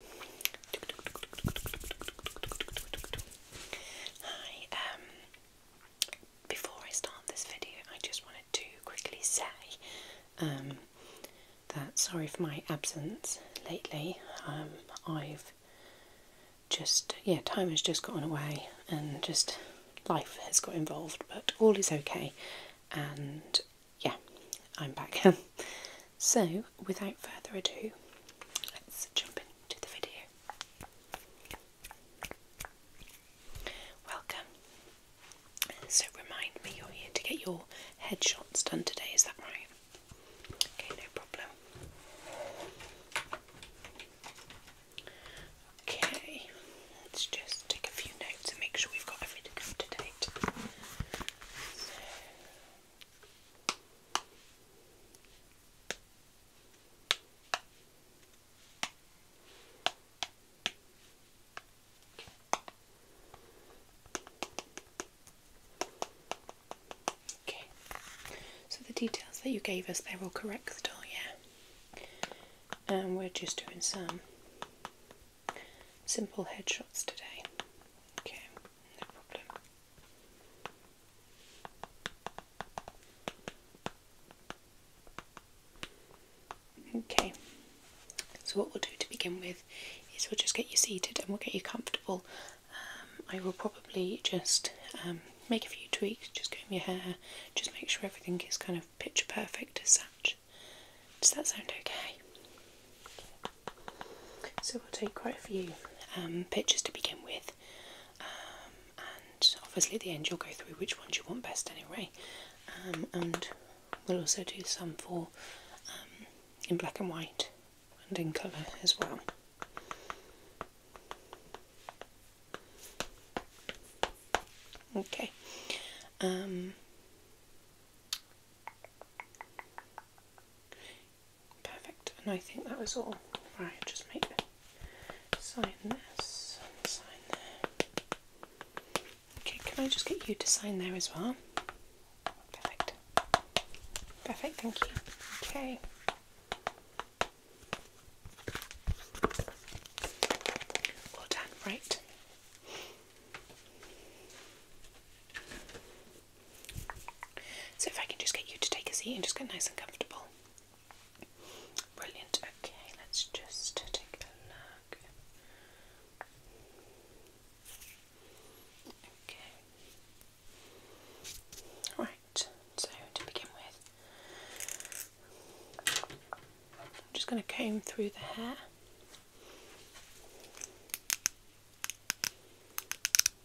Hi, um, before I start this video, I just wanted to quickly say um, that sorry for my absence lately. Um, I've just, yeah, time has just gotten away and just life has got involved, but all is okay. And yeah, I'm back. So, without further ado, let's jump into the video. Welcome. So, remind me you're here to get your headshots done today, is that right? Okay, no problem. Okay, let's just take a few notes and make sure we've got everything up Okay, so the details that you gave us, they're all correct still, yeah? And um, we're just doing some simple headshots today. Okay, no problem. Okay, so what we'll do to begin with is we'll just get you seated and we'll get you comfortable. Um, I will probably just um, make a few tweaks, just comb your hair, just make sure everything is kind of picture perfect as such. Does that sound okay? So we'll take quite a few um, pictures to begin with, um, and obviously at the end you'll go through which ones you want best anyway, um, and we'll also do some for in black and white and in colour as well. Okay. Perfect, and I think that was all. Right, just make sign this, sign there. Okay, can I just get you to sign there as well? Perfect. Perfect, thank you. Okay. All done, right. So if I can just get you to take a seat and just get nice and comfortable. Brilliant. Okay, let's just take a look. Okay. Right, so to begin with, I'm just going to comb through the hair.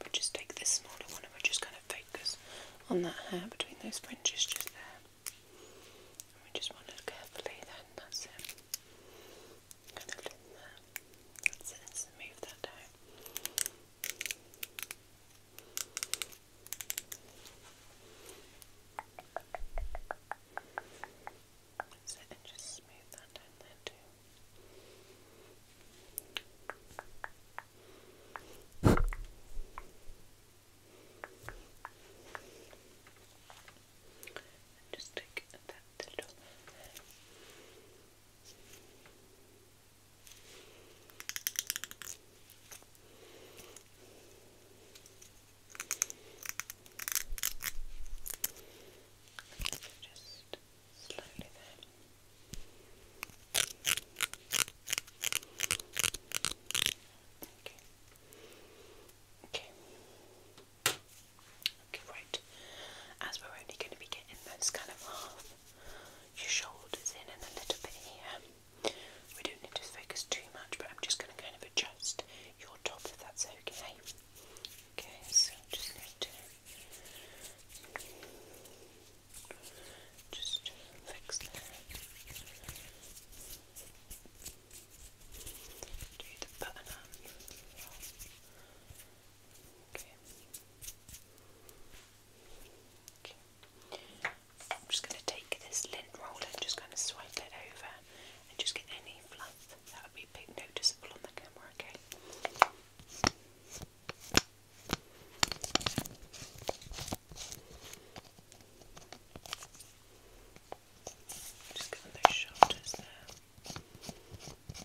We'll just take this smaller one and we'll just kind of focus on that hair between those fringes just there. we just want to look carefully then, that's it. Kind of in there. Let's move that down. That's it. just smooth that down there too. and just take that little just slowly Okay. Okay. Okay, right. As we're only going to be getting those kind of half your shoulders in and a little bit here, we don't need to focus too much, but I'm just going to kind of adjust your top if that's okay. Okay, so just just fix that. I'm just going to take this lint roller just going to swipe it over and just get any fluff that would be big noticeable on the camera, Okay. Just give them those shoulders there. Good.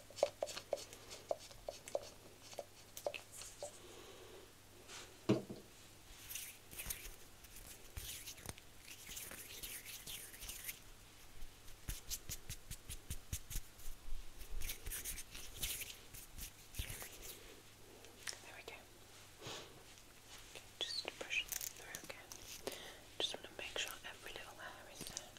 There we go. just brush through Just want to make sure every little hair is there.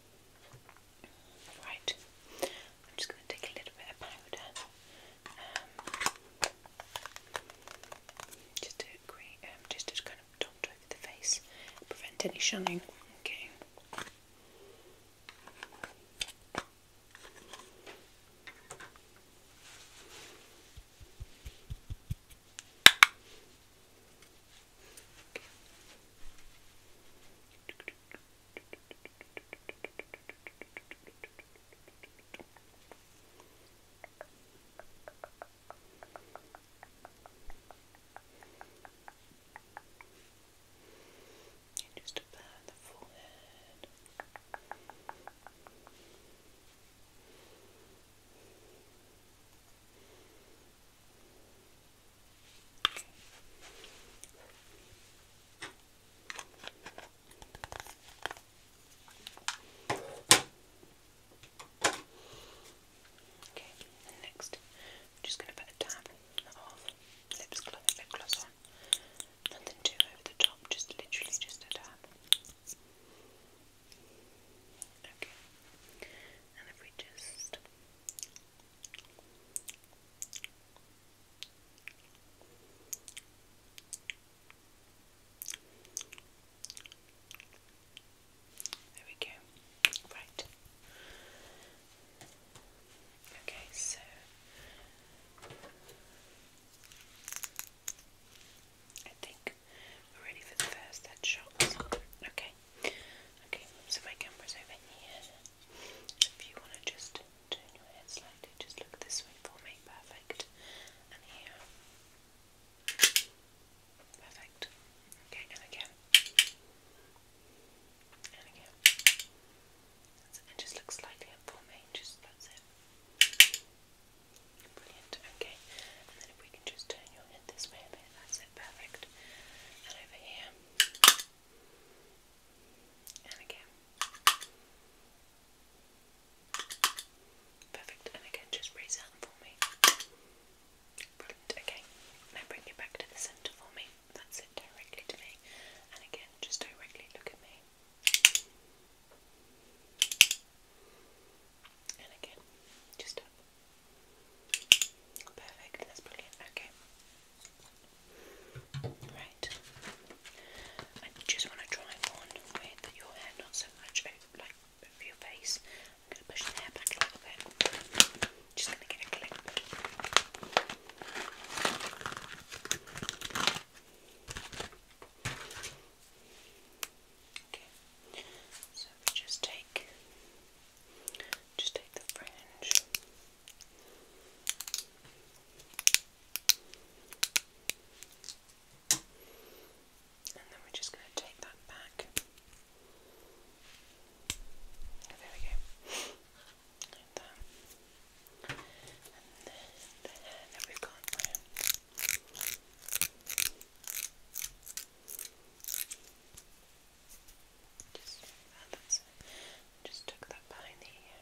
Right, I'm just going to take a little bit of powder um, just to create, um, just kind of dot over the face, prevent any shunning. Okay. And just about the forehead. Just Okay, and next I'm just going to put a dab of lip gloss on. Nothing too over the top, just literally just a dab. Okay, and if we just there we go. Right. Okay, so I think we're ready for the first head Okay. Okay, so my camera's over here. If you want to just turn your head slightly, just look this way for me. Perfect. And here. Perfect. Okay, and again. And again. And just look slightly up for me. Just that's it. Brilliant. Okay. And then if we can just turn your head this way a bit, that's it. Perfect. And over here. And again. Perfect. And again, just raise that for me. Brilliant. Okay. Now bring it back to the centre for me. That's it, directly to me. And again, just directly look at me. And again, just up. Perfect. That's brilliant. Okay. Right. I just want to try on with your hair not so much over, like your face. I'm going to push the hair back a little bit. Just going to get a clip. Okay. So just take just take the fringe. And then we're just going to take that back. there we go. Like that. And then we've got just, oh, that's, just took that behind the ear.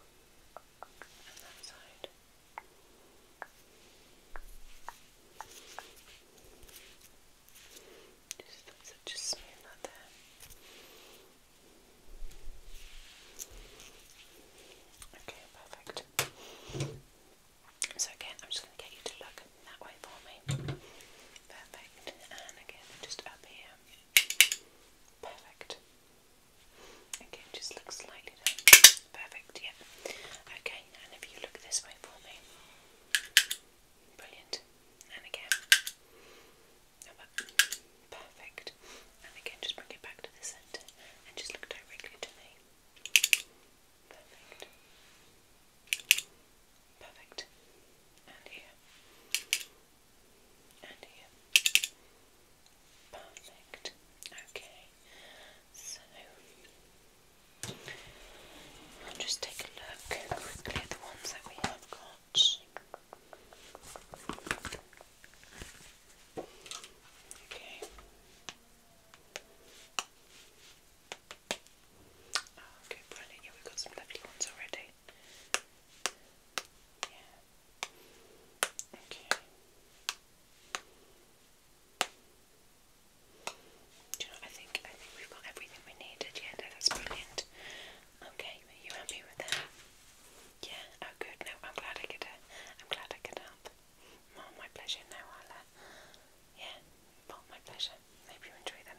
And that side. Just, that's it, just smooth that there. Okay, perfect. So again, I'm just going to get you to look that way for me. Perfect. And again, just up here. Perfect. Okay, just look slightly down. Perfect, yeah. Okay, and if you look this way for me. Brilliant. And again. Perfect. And again, just bring it back to the centre and just look directly to me. Perfect. Perfect. And here. And here. Perfect. Okay. So just take a look quickly at the ones that we have got. Okay. Oh, okay, brilliant. Yeah, we've got some lovely ones already. Yeah. Okay. Do you know, I think I think we've got everything we needed. Yeah, no, that's brilliant. Okay, you happy with that? Yeah. Oh, good. No, I'm glad I could. Uh, I'm glad I could help. my pleasure. No, I'll. yeah. my pleasure. Hope you enjoy them.